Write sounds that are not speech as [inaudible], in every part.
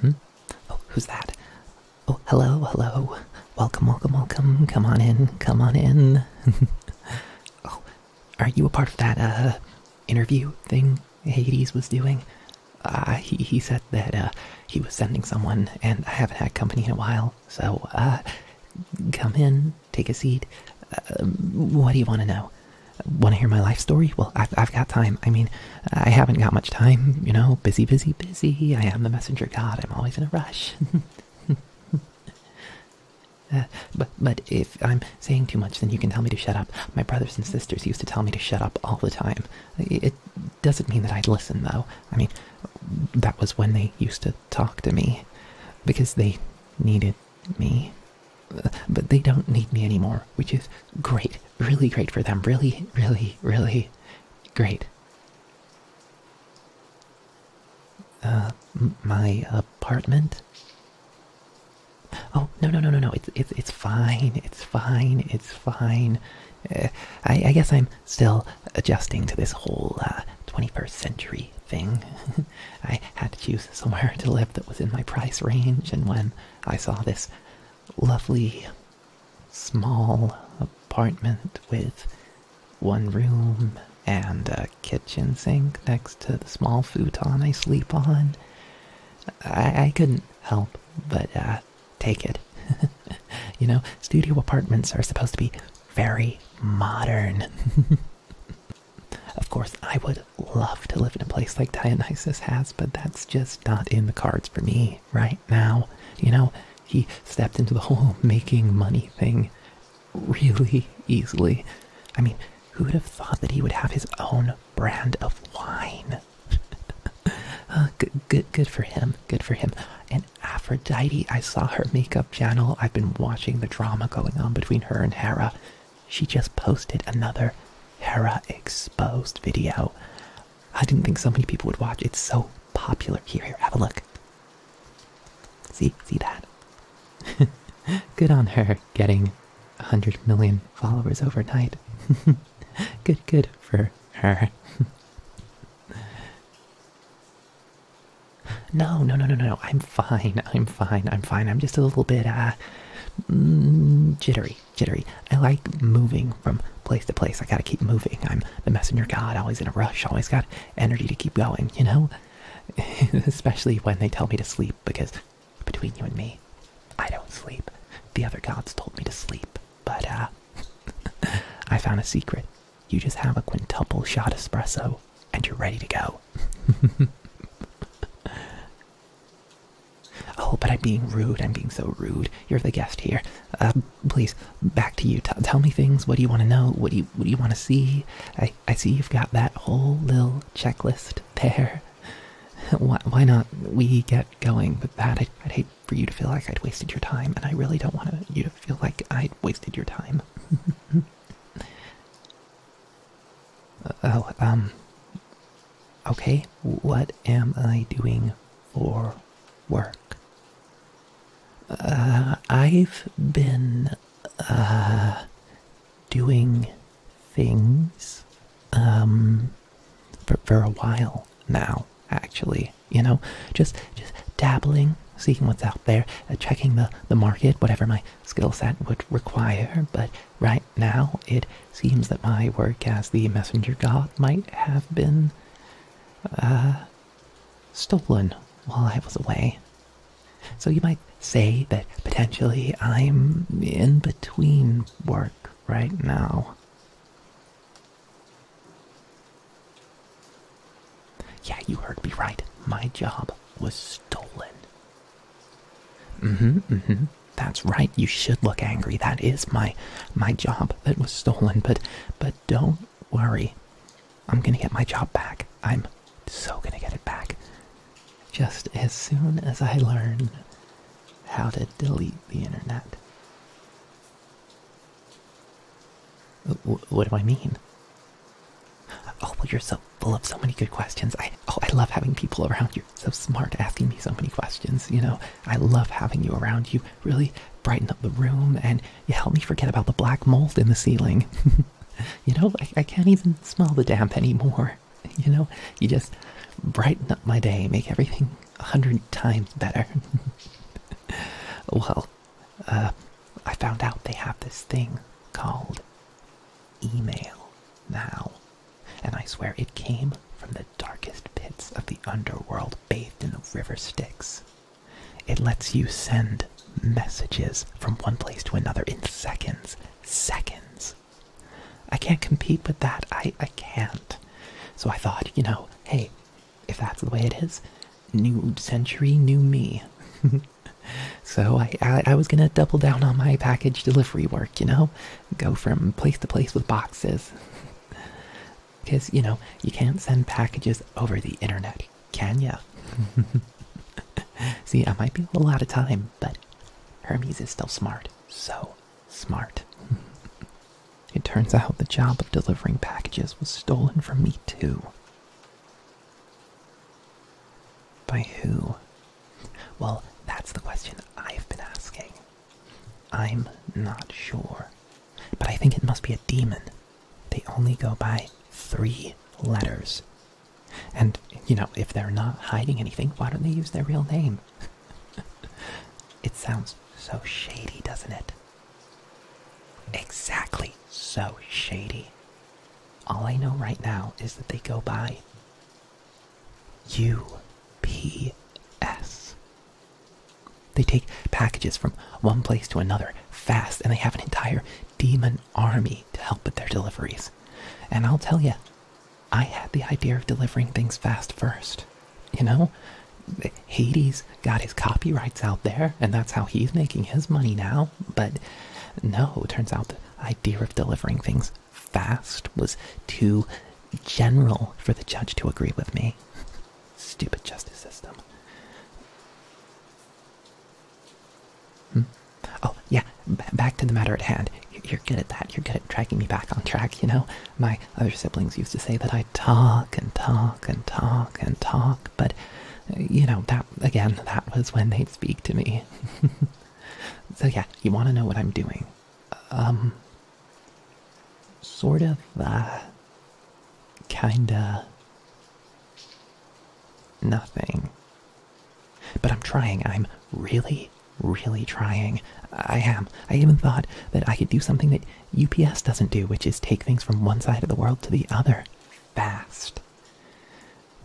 Hmm? Oh, who's that? Oh, hello, hello. Welcome, welcome, welcome. Come on in, come on in. [laughs] oh, are you a part of that uh, interview thing Hades was doing? Uh, he, said that uh, he was sending someone, and I haven't had company in a while, so uh, come in, take a seat. Uh, what do you want to know? Want to hear my life story? Well, I've, got time. I mean, I haven't got much time, you know, busy, busy, busy. I am the messenger god. I'm always in a rush. [laughs] Uh, but, but if I'm saying too much, then you can tell me to shut up. My brothers and sisters used to tell me to shut up all the time. It doesn't mean that I'd listen, though. I mean, that was when they used to talk to me because they needed me. But they don't need me anymore, which is great. Really great for them. Really, really, really great. Uh, my apartment? Oh, no, no, no, no, no. It's, it's, it's fine. It's fine. It's fine. Uh, I, I guess I'm still adjusting to this whole uh, 21st century thing. [laughs] I had to choose somewhere to live that was in my price range, and when I saw this lovely small apartment with one room and a kitchen sink next to the small futon I sleep on, I, couldn't help but uh, take it. [laughs] you know, studio apartments are supposed to be very modern. [laughs] of course, I would love to live in a place like Dionysus has, but that's just not in the cards for me right now. You know, he stepped into the whole [laughs] making money thing really easily. I mean, who would have thought that he would have his own brand of wine? [laughs] Uh, good, good, good for him. Good for him. And Aphrodite. I saw her makeup channel. I've been watching the drama going on between her and Hera. She just posted another Hera exposed video. I didn't think so many people would watch. It's so popular. Here, here, have a look. See, see that? [laughs] Good on her getting 100 million followers overnight. [laughs] good, good for her. [laughs] No, no, no, no, no. I'm fine. I'm fine. I'm fine. I'm just a little bit uh mm, jittery, jittery. I like moving from place to place. I gotta keep moving. I'm the messenger god, always in a rush, always got energy to keep going, you know? [laughs] Especially when they tell me to sleep because between you and me, I don't sleep. The other gods told me to sleep, but uh [laughs] I found a secret you just have a quintuple shot espresso and you're ready to go. [laughs] oh, but I'm being rude. I'm being so rude. You're the guest here. Uh, please, back to you. tell me things. What do you want to know? What do you What do you want to see? I I see you've got that whole little checklist there. [laughs] Why, why not we get going with that? i I'd hate for you to feel like I'd wasted your time, and I really don't want to, you feel like I wasted your time? [laughs] Oh, um. Okay, what am I doing for work? Uh, I've been, uh, doing things, um, for, for a while now, actually you know, just just dabbling, seeing what's out there, uh, checking the the market, whatever my skill set would require. But right now, it seems that my work as the messenger god might have been uh, stolen while I was away. So you might say that potentially I'm in between work right now. Yeah, you heard me right. My job was stolen. hmm, hmm. That's right. You should look angry. That is my my job that was stolen. But but don't worry. I'm gonna get my job back. I'm so gonna get it back. Just as soon as I learn how to delete the internet what do I mean? Oh, well, you're so full of so many good questions. I oh, I love having people around you. So smart, asking me so many questions. You know, I love having you around. You really brighten up the room, and you help me forget about the black mold in the ceiling. [laughs] you know, I, I can't even smell the damp anymore. [laughs] You know, you just brighten up my day, make everything a hundred times better. [laughs] well, uh, I found out they have this thing called email now. And I swear it came from the darkest pits of the underworld bathed in the river Styx. It lets you send messages from one place to another in seconds. Seconds. I can't compete with that. I, I can't. So I thought, you know, hey, if that's the way it is, new century, new me. [laughs] so I, was gonna double down on my package delivery work, you know, go from place to place with boxes. Because, [laughs] you know, you can't send packages over the internet, can ya? [laughs] See, I might be a little out of time, but Hermes is still smart. So smart. It turns out the job of delivering packages was stolen from me, too. By who? Well, that's the question I've been asking. I'm not sure, but I think it must be a demon. They only go by three letters. And, you know, if they're not hiding anything, why don't they use their real name? [laughs] it sounds so shady, doesn't it? Exactly. So shady. All I know right now is that they go by UPS. They take packages from one place to another fast, and they have an entire demon army to help with their deliveries. And I'll tell you, I had the idea of delivering things fast first. You know, Hades got his copyrights out there, and that's how he's making his money now. But no, turns out the idea of delivering things fast was too general for the judge to agree with me. Stupid justice system. Hmm? Oh, yeah, back to the matter at hand. You're good at that. You're good at dragging me back on track, you know? My other siblings used to say that I talk and talk and talk and talk, but you know, that again, that was when they'd speak to me. [laughs] so, yeah, you want to know what I'm doing. Um, sort of, uh, kinda nothing. But I'm trying. I'm really, really trying. I am. I even thought that I could do something that UPS doesn't do, which is take things from one side of the world to the other fast.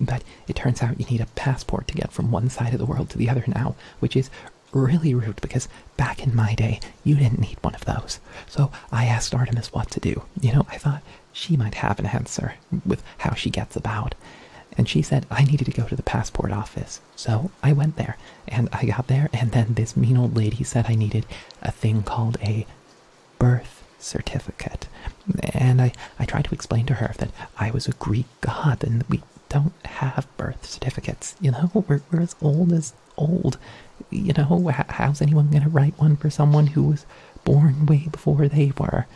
But it turns out you need a passport to get from one side of the world to the other now, which is really rude because back in my day, you didn't need one of those. So I asked Artemis what to do. You know, I thought she might have an answer with how she gets about. And she said I needed to go to the passport office so I went there and I got there, and then this mean old lady said I needed a thing called a birth certificate. And I, I tried to explain to her that I was a Greek god and we don't have birth certificates. You know, we're, we're as old as old. You know, how's anyone going to write one for someone who was born way before they were?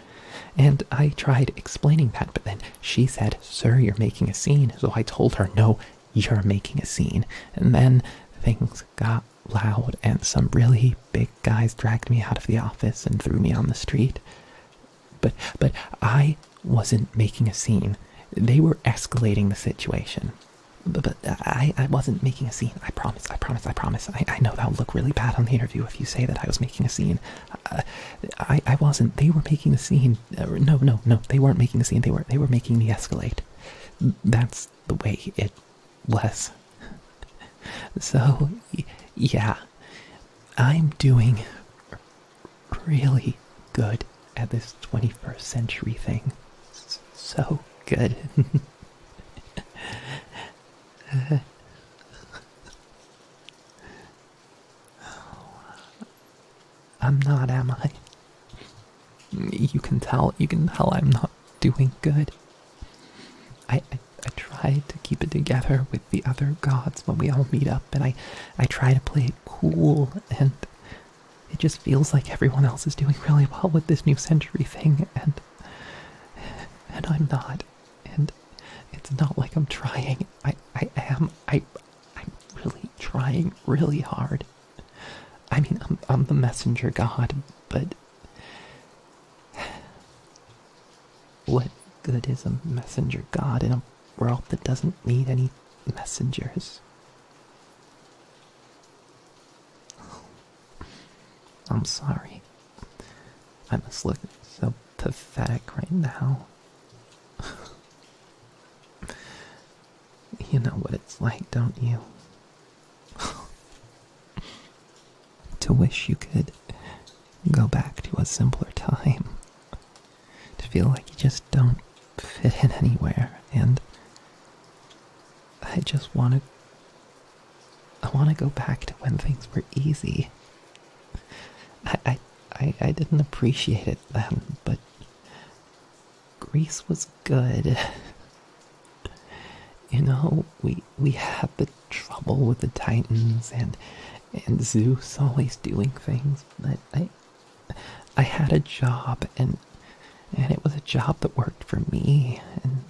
And I tried explaining that, but then she said, Sir, you're making a scene. So I told her, No, you're making a scene. And then things got loud, and some really big guys dragged me out of the office and threw me on the street. But, but I wasn't making a scene. They were escalating the situation. But, but I, I wasn't making a scene. I promise, I promise, I promise. I, I know that'll look really bad on the interview if you say that I was making a scene. I, uh, I, I wasn't. They were making a scene. Uh, no, no, no. They weren't making a scene. They were they were making me escalate. That's the way it was. [laughs] so, yeah, I'm doing really good at this 21st century thing. so good. [laughs] Oh, I'm not, am I? You can tell, you can tell I'm not doing good. I, I, try to keep it together with the other gods when we all meet up, and I, I try to play it cool, and it just feels like everyone else is doing really well with this new century thing, and, and I'm not. And it's not like I'm trying. I, I am. I, I'm really trying really hard. I mean, I'm, the messenger god, but what good is a messenger god in a world that doesn't need any messengers? I'm sorry. I must look so pathetic right now. You know what it's like, don't you? to wish you could go back to a simpler time. To feel like you just don't fit in anywhere. And I just want to. I want to go back to when things were easy. I, I I, I didn't appreciate it then, but Greece was good. [laughs] you know, we we had the trouble with the Titans and and Zeus always doing things, but I I had a job and and it was a job that worked for me and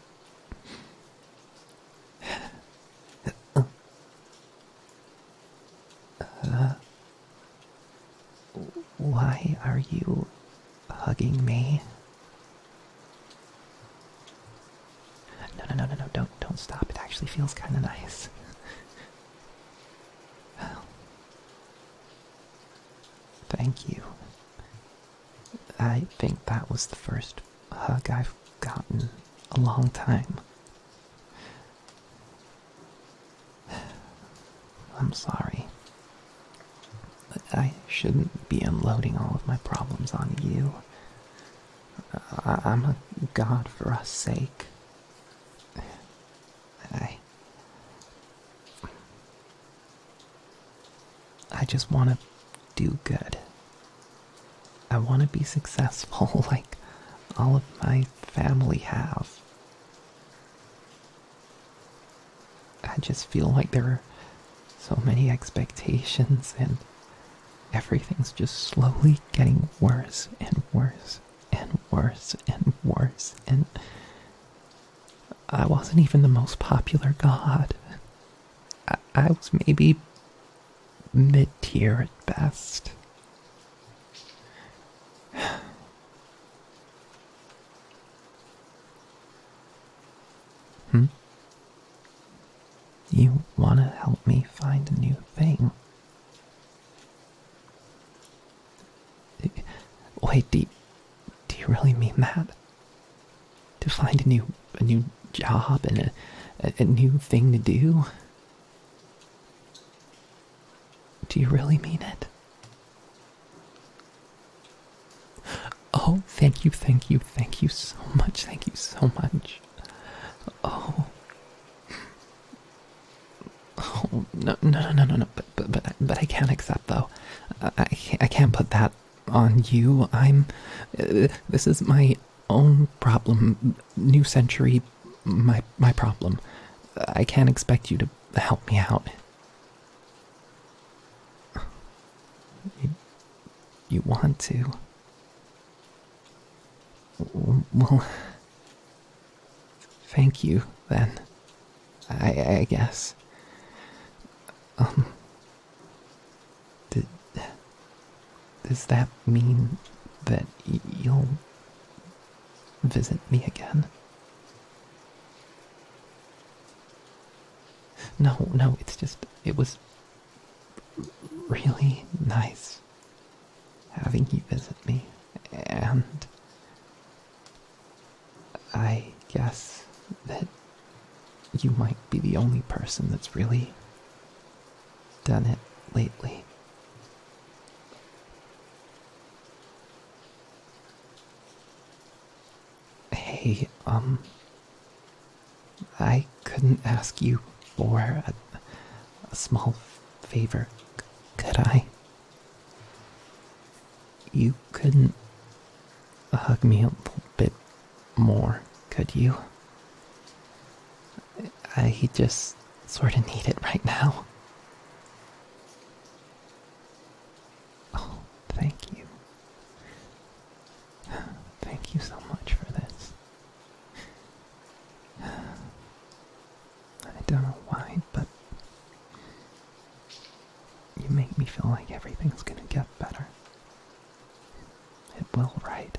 uh, why are you hugging me? No, no, no, no, no! Don't, don't stop. It actually feels kind of nice. [laughs] thank you. I think that was the first hug I've gotten a long time. [sighs] I'm sorry. I shouldn't be unloading all of my problems on you. I I'm a god for us sake. [sighs] I. I just want to do good. I want to be successful [laughs] like all of my family have. I just feel like there are so many expectations and everything's just slowly getting worse and worse and worse and worse and I wasn't even the most popular god. I, was maybe mid tier at best hmm? You want to help me find a new thing? Wait, do you, do you really mean that? To find a new a new job and a, a new thing to do? Do you really mean it? Oh, thank you, thank you, thank you so much, thank you so much. Oh. Oh, no, no, no, no, no, but, but, but, but I can't accept, though. I, I can't put that on you. I'm. Uh, this is my own problem. New century my my problem. I can't expect you to help me out. You, want to? Well, thank you then. I guess. Um. Does that mean that you'll visit me again? No, no, it's just, it was really nice having you visit me. And I guess that you might be the only person that's really done it lately. Hey, um, I couldn't ask you for a, small favor, could I? You couldn't hug me a bit more, could you? I just sort of need it right now. Oh, thank you. Thank you so much for this. I don't know why, but you make me feel like everything's gonna get better. It will, right?